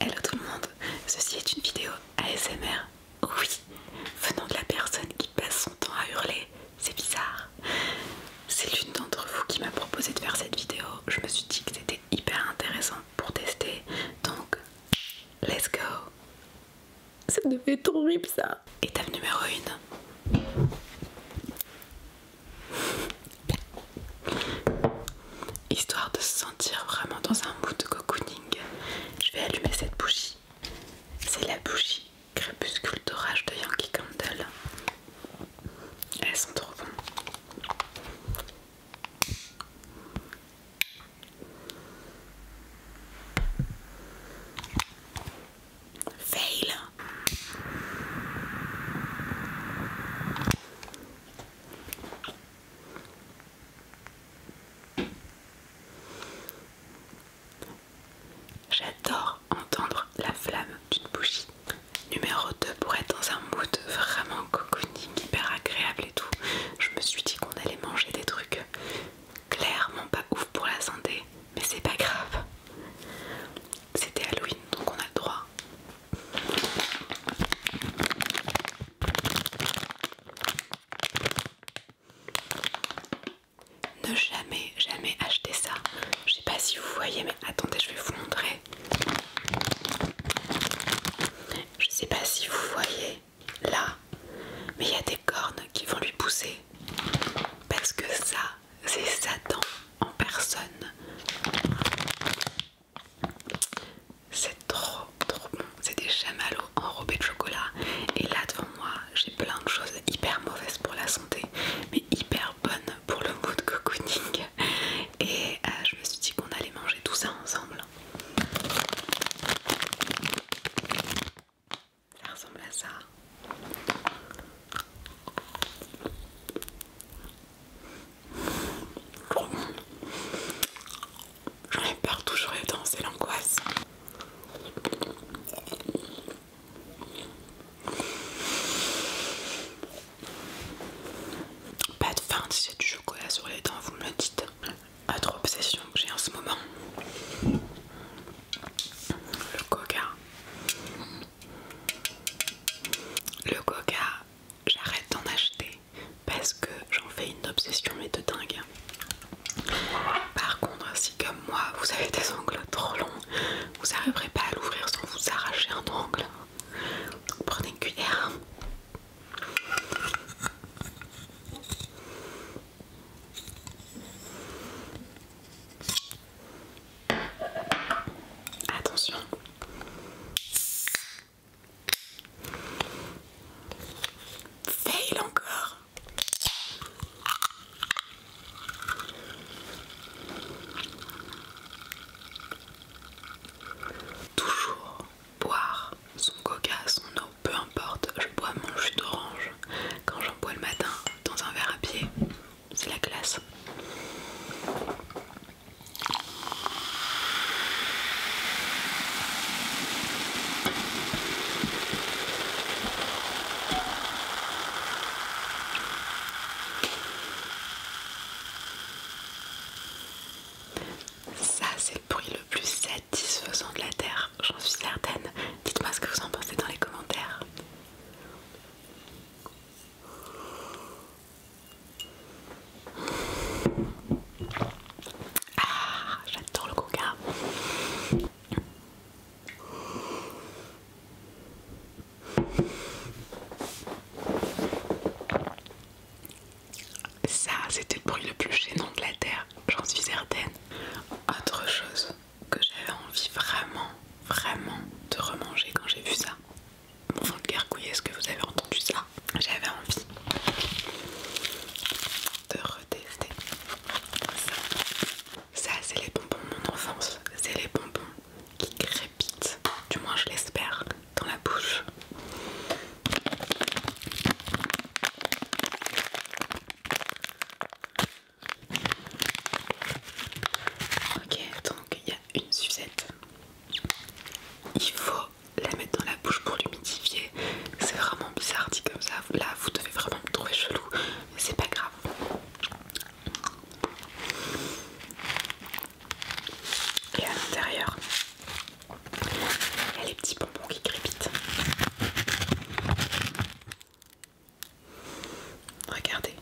Hello tout le monde, ceci est une vidéo ASMR, oui, venant de la personne qui passe son temps à hurler, c'est bizarre. C'est l'une d'entre vous qui m'a proposé de faire cette vidéo, je me suis dit que c'était hyper intéressant pour tester, donc let's go. Ça devait être horrible ça. Étape numéro 1. Histoire de se sentir vraiment dans un bout de cocooning, je vais allumer cette bougie. C'est la bougie crépuscule d'orage de Yankee Candle. Elles sont trop bonnes. Fail. J'adore entendre la flamme d'une bougie. Numéro 2 pour être dans un mood vraiment cocooning, hyper agréable et tout. Je me suis dit qu'on allait manger des trucs clairement pas ouf pour la santé, mais c'est pas grave. C'était Halloween donc on a le droit ne jamais, jamais acheter ça. Je sais pas si vous voyez, mais attendez, je vais vous montrer. Je sais pas si vous voyez là, mais il y a des cornes qui vont lui pousser. Parce que ça, c'est Satan en personne. C'est trop trop bon. C'est des chamallows enrobés de chocolat. Et là devant moi, j'ai plein de choses hyper mauvaises pour la santé, mais hyper bonnes pour le mood cocooning. Et euh, je me suis dit qu'on allait manger tout ça ensemble. Ça ressemble à ça. J'en ai peur toujours les dents, c'est l'angoisse. Pas de fin si j'ai du chocolat sur les dents, vous me le dites. Autre obsession que j'ai en ce moment. Le coca. Le coca j'arrête d'en acheter parce que j'en fais une obsession mais de dingue. Par contre, si comme moi vous avez des ongles trop longs, vous n'arriverez pas à l'ouvrir sans vous arracher un ongle. prenez une cuillère. Attention, Fail encore. Toujours boire son coca, son eau, peu importe, je bois mon jus d'orange quand j'en bois le matin dans un verre à pied, c'est la classe. Ça, c'est le bruit le plus satisfaisant de la Terre, j'en suis certaine. Dites-moi ce que vous en pensez dans les commentaires. Ah, j'adore le coca. Ça, c'était le bruit le plus gênant de la Terre, j'en suis certaine. Autre chose que j'avais envie vraiment, vraiment de remanger quand j'ai vu ça, mon vent de gargouille, est-ce que vous avez entendu ça J'avais envie de retester ça. Ça, c'est les bonbons de mon enfance. C'est les bonbons qui crépitent, du moins je l'espère, dans la bouche. Ok, donc il y a une sucette. Il faut la mettre dans la bouche pour l'humidifier. C'est vraiment bizarre dit comme ça. Là, vous devez vraiment me trouver chelou. mais C'est pas grave. Et à l'intérieur, il y a les petits bonbons qui crépitent. Regardez,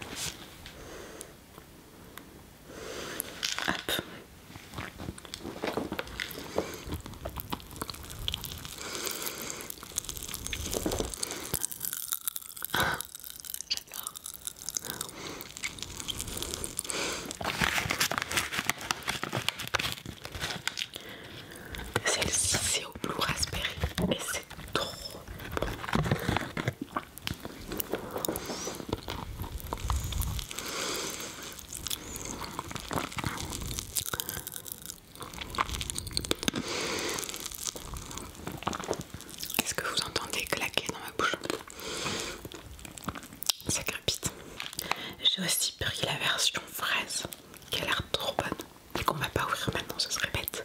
celle-ci c'est au blue raspberry et c'est trop bon. Est-ce que vous entendez claquer dans ma bouche Ça crépite. J'ai aussi pris la version fraise qui a l'air trop bonne et qu'on va pas ouvrir maintenant, ce serait bête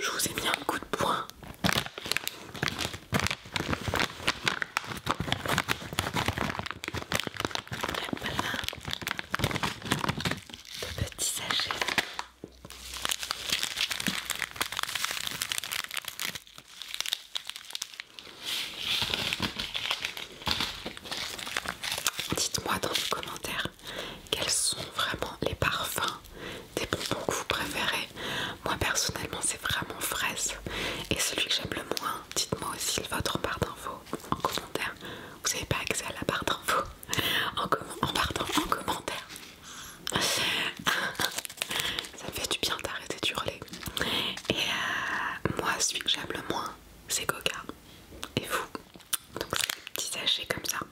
je vous ai mis un coup de poing. Voilà. De petits Dites-moi dans les commentaires quels sont vraiment les parfums des bonbons que vous préférez. Moi personnellement c'est vraiment fraise et celui que j'aime le moins, dites-moi aussi votre part d'infos en commentaire. Vous n'avez pas accès à la barre d'infos en, en, commentaire. Ça fait du bien d'arrêter d'hurler. Et euh, moi celui que j'aime le moins c'est Coca. Et vous donc c'est des petits sachets comme ça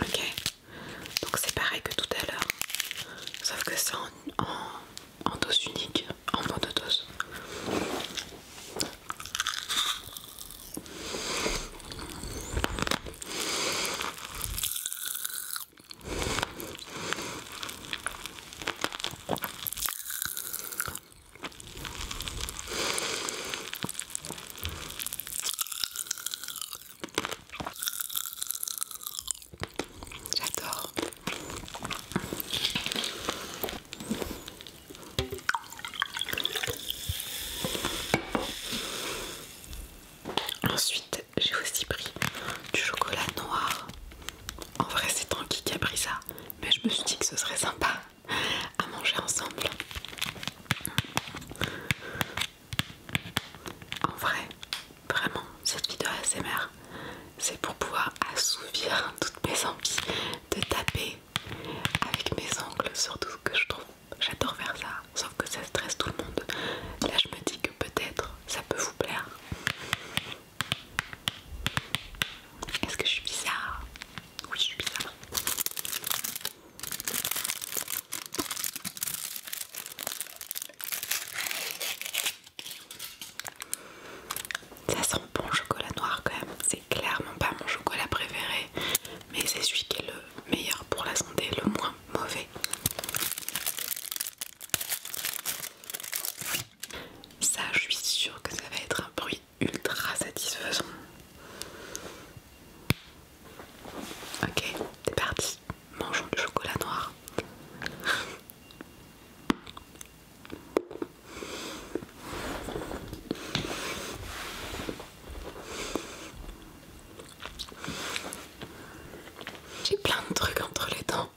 Ok, donc c'est pareil que tout à l'heure, sauf que c'est en, en, dose unique, en dose J'adore. Ensuite, j'ai aussi pris du chocolat noir. En vrai, c'est Tanguy qui a pris ça, mais je me suis dit que ce serait sympa à manger ensemble. En vrai, vraiment, cette vidéo ASMR, c'est pour pouvoir assouvir toutes mes envies de taper avec mes ongles, surtout que je trouve j'adore faire ça, sauf que ça stresse tout le monde. Là, je me dis que peut-être ça peut vous plaire. Est-ce que je suis bizarre Oui, je suis bizarre. Ça sent bon chocolat noir quand même, c'est clairement pas mon chocolat préféré, mais c'est celui qui est le meilleur pour la santé, le moins mauvais. Ça, je suis sûre que ça va être un bruit ultra satisfaisant. Ok, c'est parti. Mangeons du chocolat noir. J'ai plein de trucs entre les dents.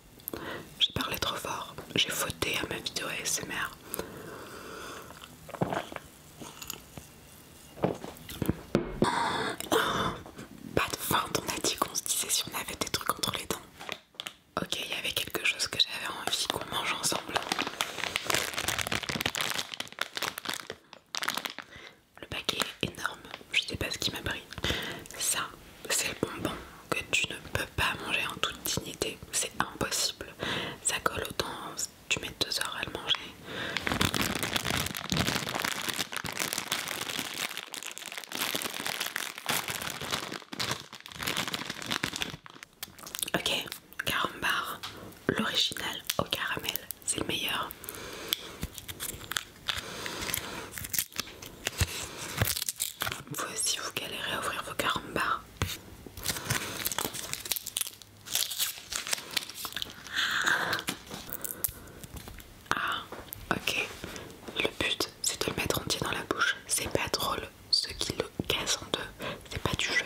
J'ai parlé trop fort. J'ai fauté à ma vidéo ASMR. Pas de fin. on a dit qu'on se disait si on avait des trucs entre les dents. Ok, il y avait quelque chose que j'avais envie qu'on mange ensemble. Le paquet est énorme, je sais pas ce qui m'a pris. Ça, c'est le bonbon que tu ne peux pas manger en toute dignité, c'est impossible. Ça colle autant, tu mets deux heures à le manger. Ok, carambar, l'original au caramel, c'est le meilleur. Voici, vous galérez à ouvrir vos caramba Ah, ok. Le but, c'est de le mettre entier dans la bouche. C'est pas drôle. Ceux qui le cassent en deux, c'est pas du jeu.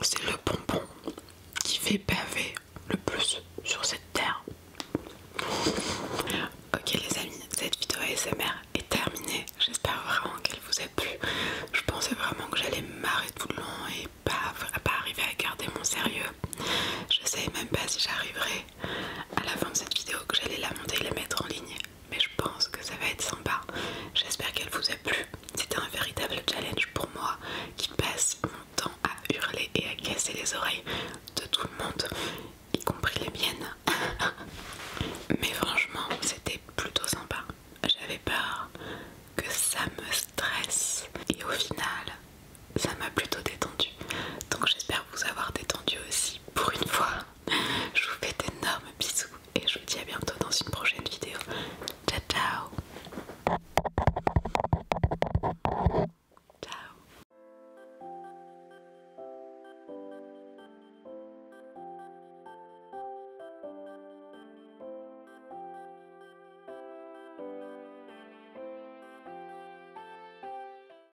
C'est le bonbon qui fait paver le plus sur cette terre. Ok les amis, cette vidéo ASMR est terminée. J'espère vraiment qu'elle vous a plu. Je pensais vraiment que j'allais marrer tout le long et pas, pas arriver à garder mon sérieux. Je sais même pas si j'arriverai à la fin de cette vidéo que j'allais la monter et la mettre en ligne mais je pense que ça va être sympa j'espère qu'elle vous a plu c'était un véritable challenge pour moi qui passe mon temps à hurler et à casser les oreilles de tout le monde y compris les miennes mais franchement c'était plutôt sympa j'avais peur que ça me stresse et au final ça m'a plutôt détendue donc j'espère vous avoir détendu aussi pour une fois je vous fais d'énormes bisous et je vous dis à bientôt dans une prochaine vidéo. Ciao ciao Ciao